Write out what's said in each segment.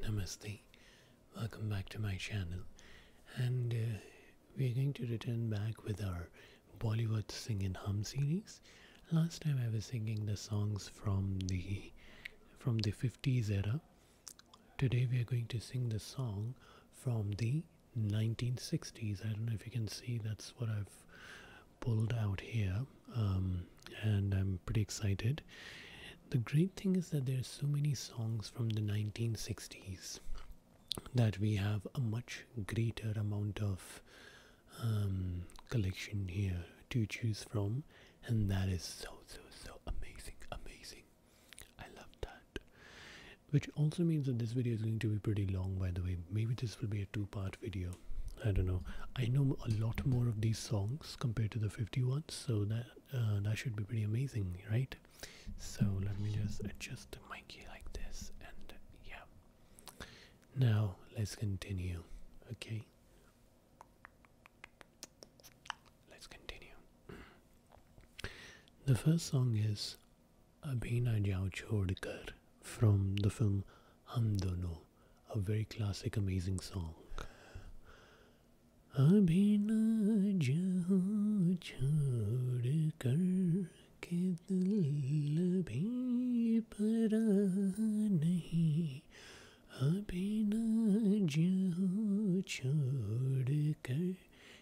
Namaste, welcome back to my channel, and uh, we are going to return back with our Bollywood Sing and Hum series. Last time I was singing the songs from the from the 50s era. Today we are going to sing the song from the 1960s. I don't know if you can see, that's what I've pulled out here, um, and I'm pretty excited. The great thing is that there's so many songs from the 1960s that we have a much greater amount of um, collection here to choose from, and that is so so so amazing, amazing. I love that which also means that this video is going to be pretty long by the way maybe this will be a two-part video i don't know i know a lot more of these songs compared to the 50 ones so that uh, that should be pretty amazing right so let me just adjust the mic like this and yeah now let's continue okay let's continue the first song is अभी ना जाओ छोड़ कर from the film हम दोनों a very classic amazing song अभी ना जाओ छोड़ कर के दिल भी पर नहीं अभी ना जाओ छोड़ कर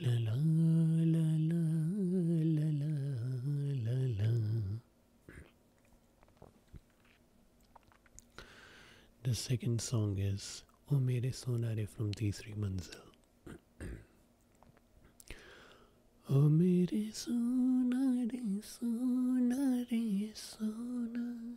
La la la la la la la la. The second song is O Meri Sonare from T3 Manzil. O Meri Sonare, Sonare, सोना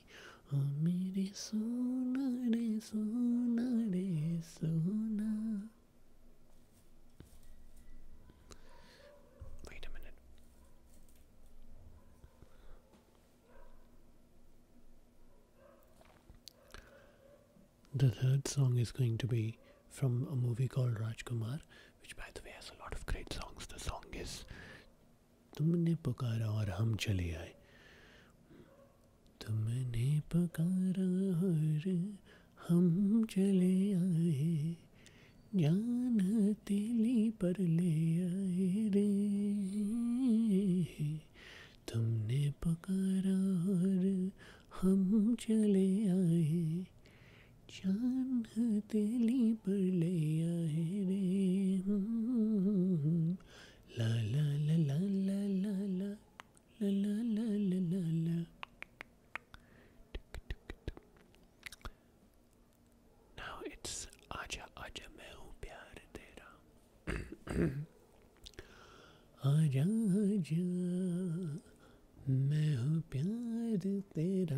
Wait a minute. The third song is going to be from a movie called Rajkumar, which by the way has a lot of great songs. The song is तुमने पुकारा और हम चले आए तुमने पुकारा और हम चले आए जान हथेली पर ले आए रे तुमने पुकारा और हम चले आए जान कान्ह तेली पर ले आए रे प्यार तेरा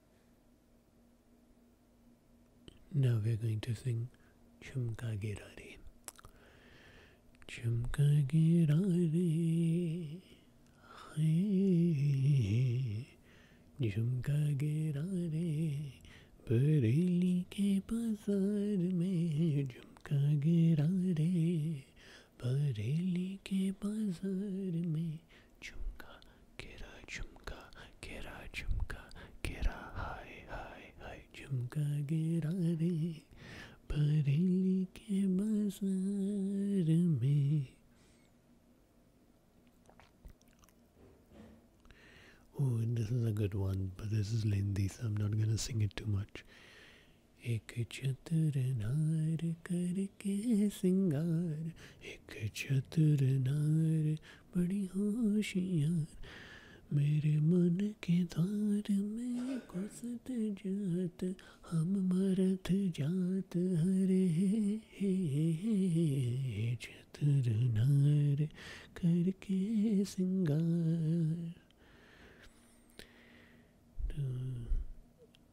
Now we're going to sing Chumka Girare. Chumka Girare. झुमका गिरा रे बरेली के बाजार में झुमका गिरा रे बरेली के बाजार में झुमका केरा झुमका केरा झुमका केरा हाय हाय हाय झुमका गेरा रे बरेली के बाजार में Oh, and this is a good one, but this is lengthy, so I'm not gonna sing it too much. एक चतुरनार करके सिंगार एक नार बड़ी होशियार मेरे मन के धार में घुसत जात हम मरत जात हरे हे हे नार चतुरनार करके सिंगार तो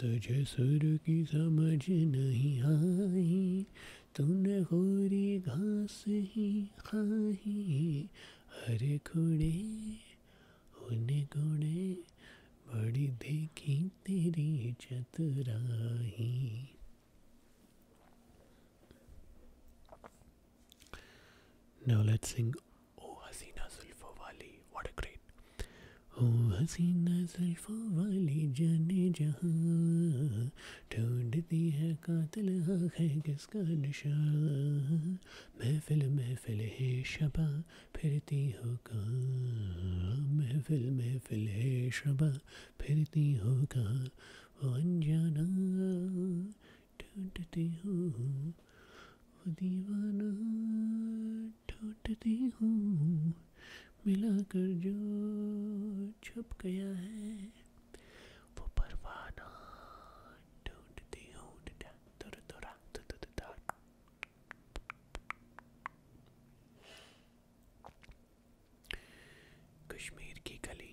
तुझे सुर की समझ नहीं आई तूने खोरी घास ही खाई हरे घोड़े होने घोड़े बड़ी देखी तेरी चतुराई Now let's sing ओ हसीना जुल्फों वाली व्हाट अ ग्रेट ओ हसीना जुल्फों वाली जाने जहाँ ढूंढती है कातिल आँख है किसका निशान महफिल महफिल है शबा फिरती हो कहाँ महफिल महफिल है शबा फिरती हो कहाँ वो अनजाना ढूंढती हो दीवाना ठोटती हूँ मिलाकर जो छुप गया है वो परवाना ढूंढती हूँ कश्मीर की गली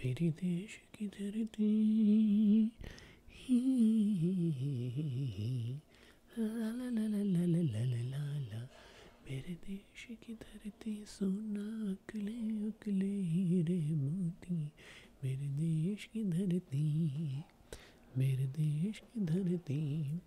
मेरी देश की धरती मेरे देश की धरती सोना अकले अकले हीरे मोती मेरे देश की धरती मेरे देश की धरती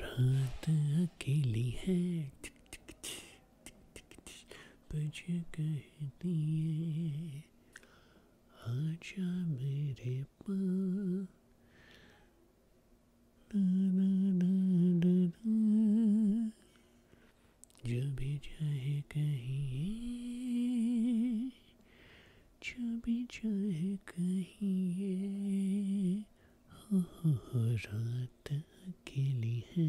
रात अकेली है बजे कहती है आजा मेरे पास ना ना ना ना ना जबी चाहे कहिए जबी चाहे कहिए हो, हाँ, हो, हाँ, हाँ, रात अकेली है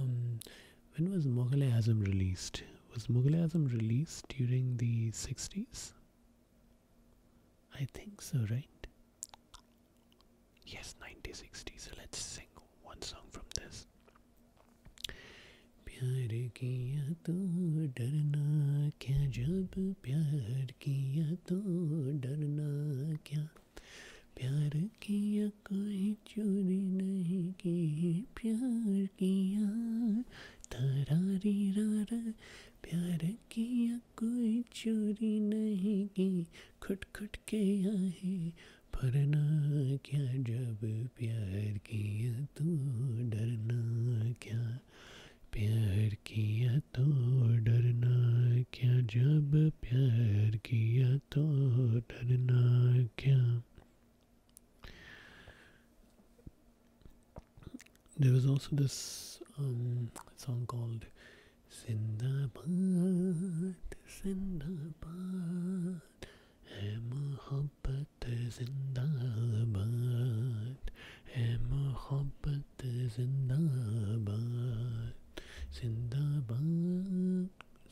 Um, when was Mughal Azam released? Was Mughal Azam released during the 60s? I think so, right? Yes, 1960. So let's sing one song from this. चोरी नहीं की प्यार किया तरारी रारा प्यार किया कोई चोरी नहीं की खुट खुट के आए भरना क्या जब प्यार किया तो डरना क्या प्यार किया तो डरना क्या जब प्यार किया तो डरना क्या There was also this um, song called Zindabad, Zindabad, Hai Mohabbat Zindabad, Hai Mohabbat Zindabad, Zindabad,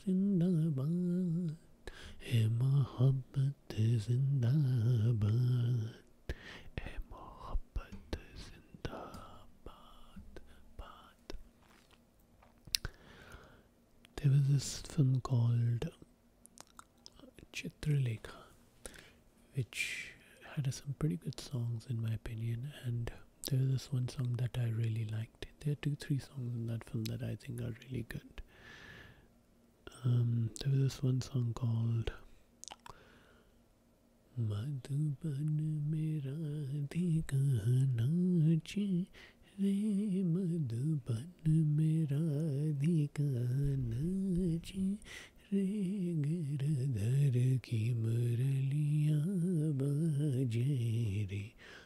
Zindabad. ए मोहब्बत जिंदाबाद ए मोहब्बत जिंदाबाद बात there was this film called uh, Chitralekha which had some pretty good songs in my opinion and there was this one song that I really liked. There are two, three songs in that film that I think are really good. Um, there was this one song called Madhuban Mera Dikanachi Re Madhuban Mera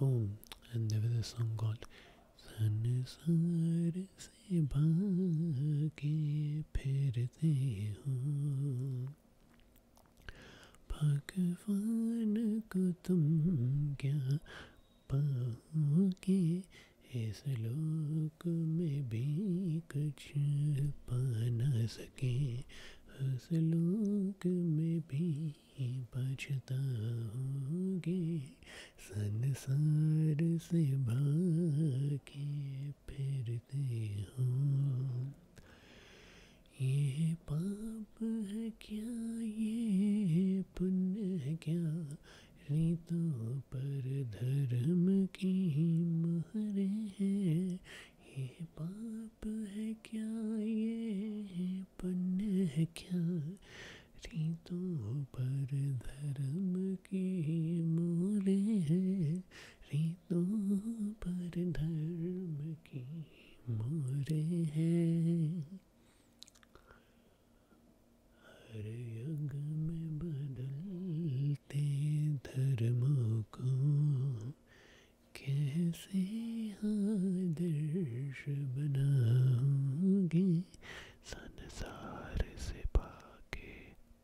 Oh, and there was a song called संसार से भागे फिरते हो भगवान को तुम क्या पाओगे इस लोग झुक में भी कुछ पा न सके हसलूक में भी बचता होंगे संसार से भागे फिरते हो ये पाप है क्या ये पुण्य है क्या रीतों पर धर्म की सहारे हैं ये पाप है क्या ये पन्न है क्या रीतों पर धर्म की मोरे हैं रीतों पर धर्म की मोरे हैं हर यज्ञ में बदल मिलते धर्मों को कैसे आदर्श बनाओगे संसार से पाके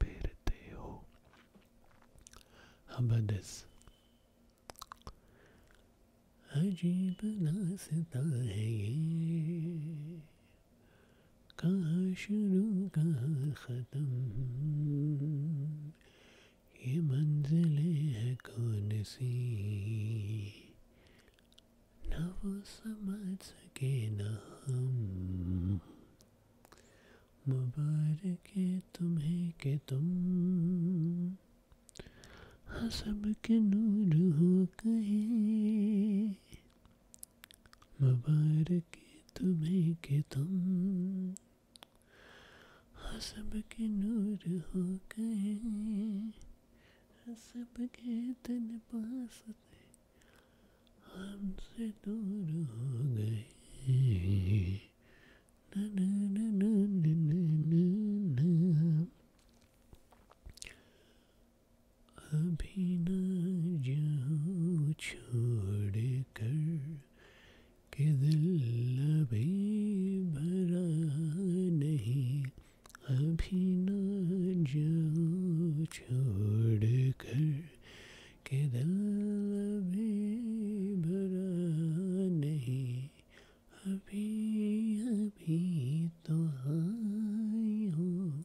फिरते हो दस अजीब नाश्ता है ये कहाँ शुरू कहाँ ख़त्म ये मंजिल है कौन सी ना समझ सके ना हम मुबारक है तुम्हें के तुम हाँ के नूर हो कहे मुबारक तुम्हें के तुम हसब हाँ, के नूर हो गए हसब हाँ, के तन पास थे हमसे नूर हो गए ना ना अभी न जाऊँ छोड़ कर के दिल अभी भरा नहीं अभी न जाऊँ छोड़ कर के दिल अभी भरा नहीं अभी अभी तो आई हूँ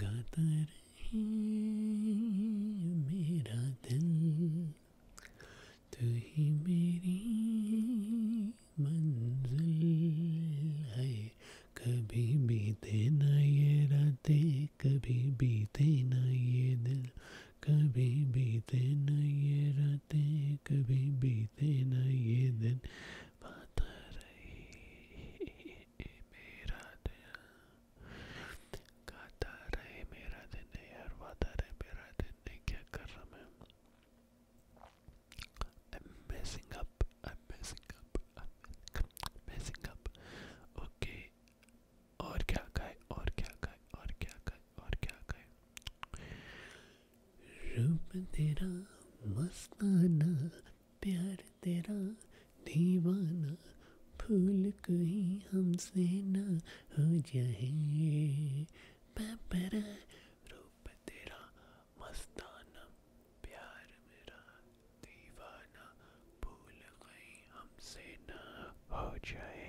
गाता रहे मेरा दिल तू ही मेरी मंजिल है कभी बीते ना ये रातें कभी बीते ना ये दिल कभी बीते ना ये रातें कभी बीते ना ये दिन बात रही मेरा दिल गाता रहे मेरा दिन यार वादा रहे मेरा दिन क्या कर रहा मैं I'm messing up I'm messing up I'm messing up okay और क्या गाए और क्या गाए और क्या गाए और क्या गाए रूप तेरा मस्ताना प्यार तेरा दीवाना फूल कहीं हमसे ना हो जाए पैपरा रूप तेरा मस्ताना प्यार मेरा दीवाना फूल कहीं हमसे ना हो जाए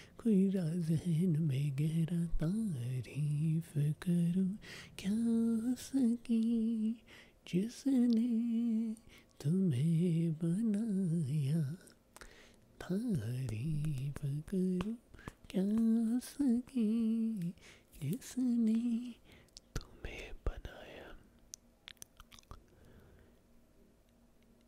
कोई राजहन में गहरा तारीफ करूं क्या सकी जिसने तुम्हें बनाया तारीफ करूं क्या सकी जिसने तुम्हें बनाया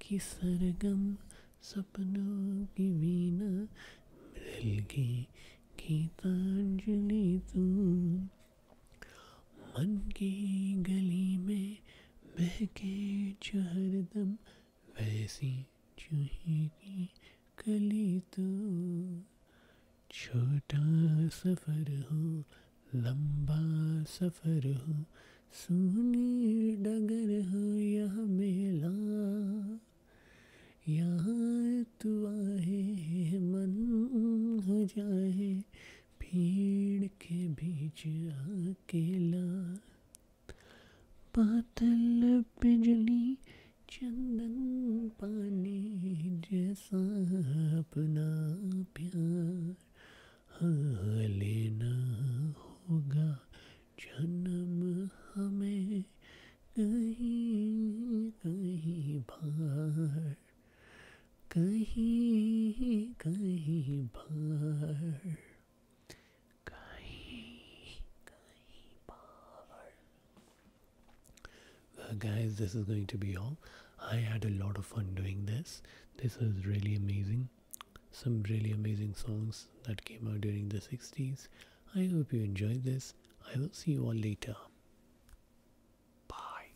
की सरगम सपनों की वीणा मृदल की गीतांजलि तू मन की गली में बहके जो हरदम वैसी चूहे की कली तो छोटा सफ़र हो लंबा सफ़र हो सुनी डगर हो यह मेला यहाँ तू आए मन हो जाए भीड़ के बीच अकेला पातल बिजली चंदन पानी जैसा अपना प्यार हाँ, लेना होगा जन्म हमें कहीं कहीं भार कहीं कहीं पर कहीं कहीं पर guys this is going to be all i had a lot of fun doing this this was really amazing some really amazing songs that came out during the 60s i hope you enjoyed this i will see you all later bye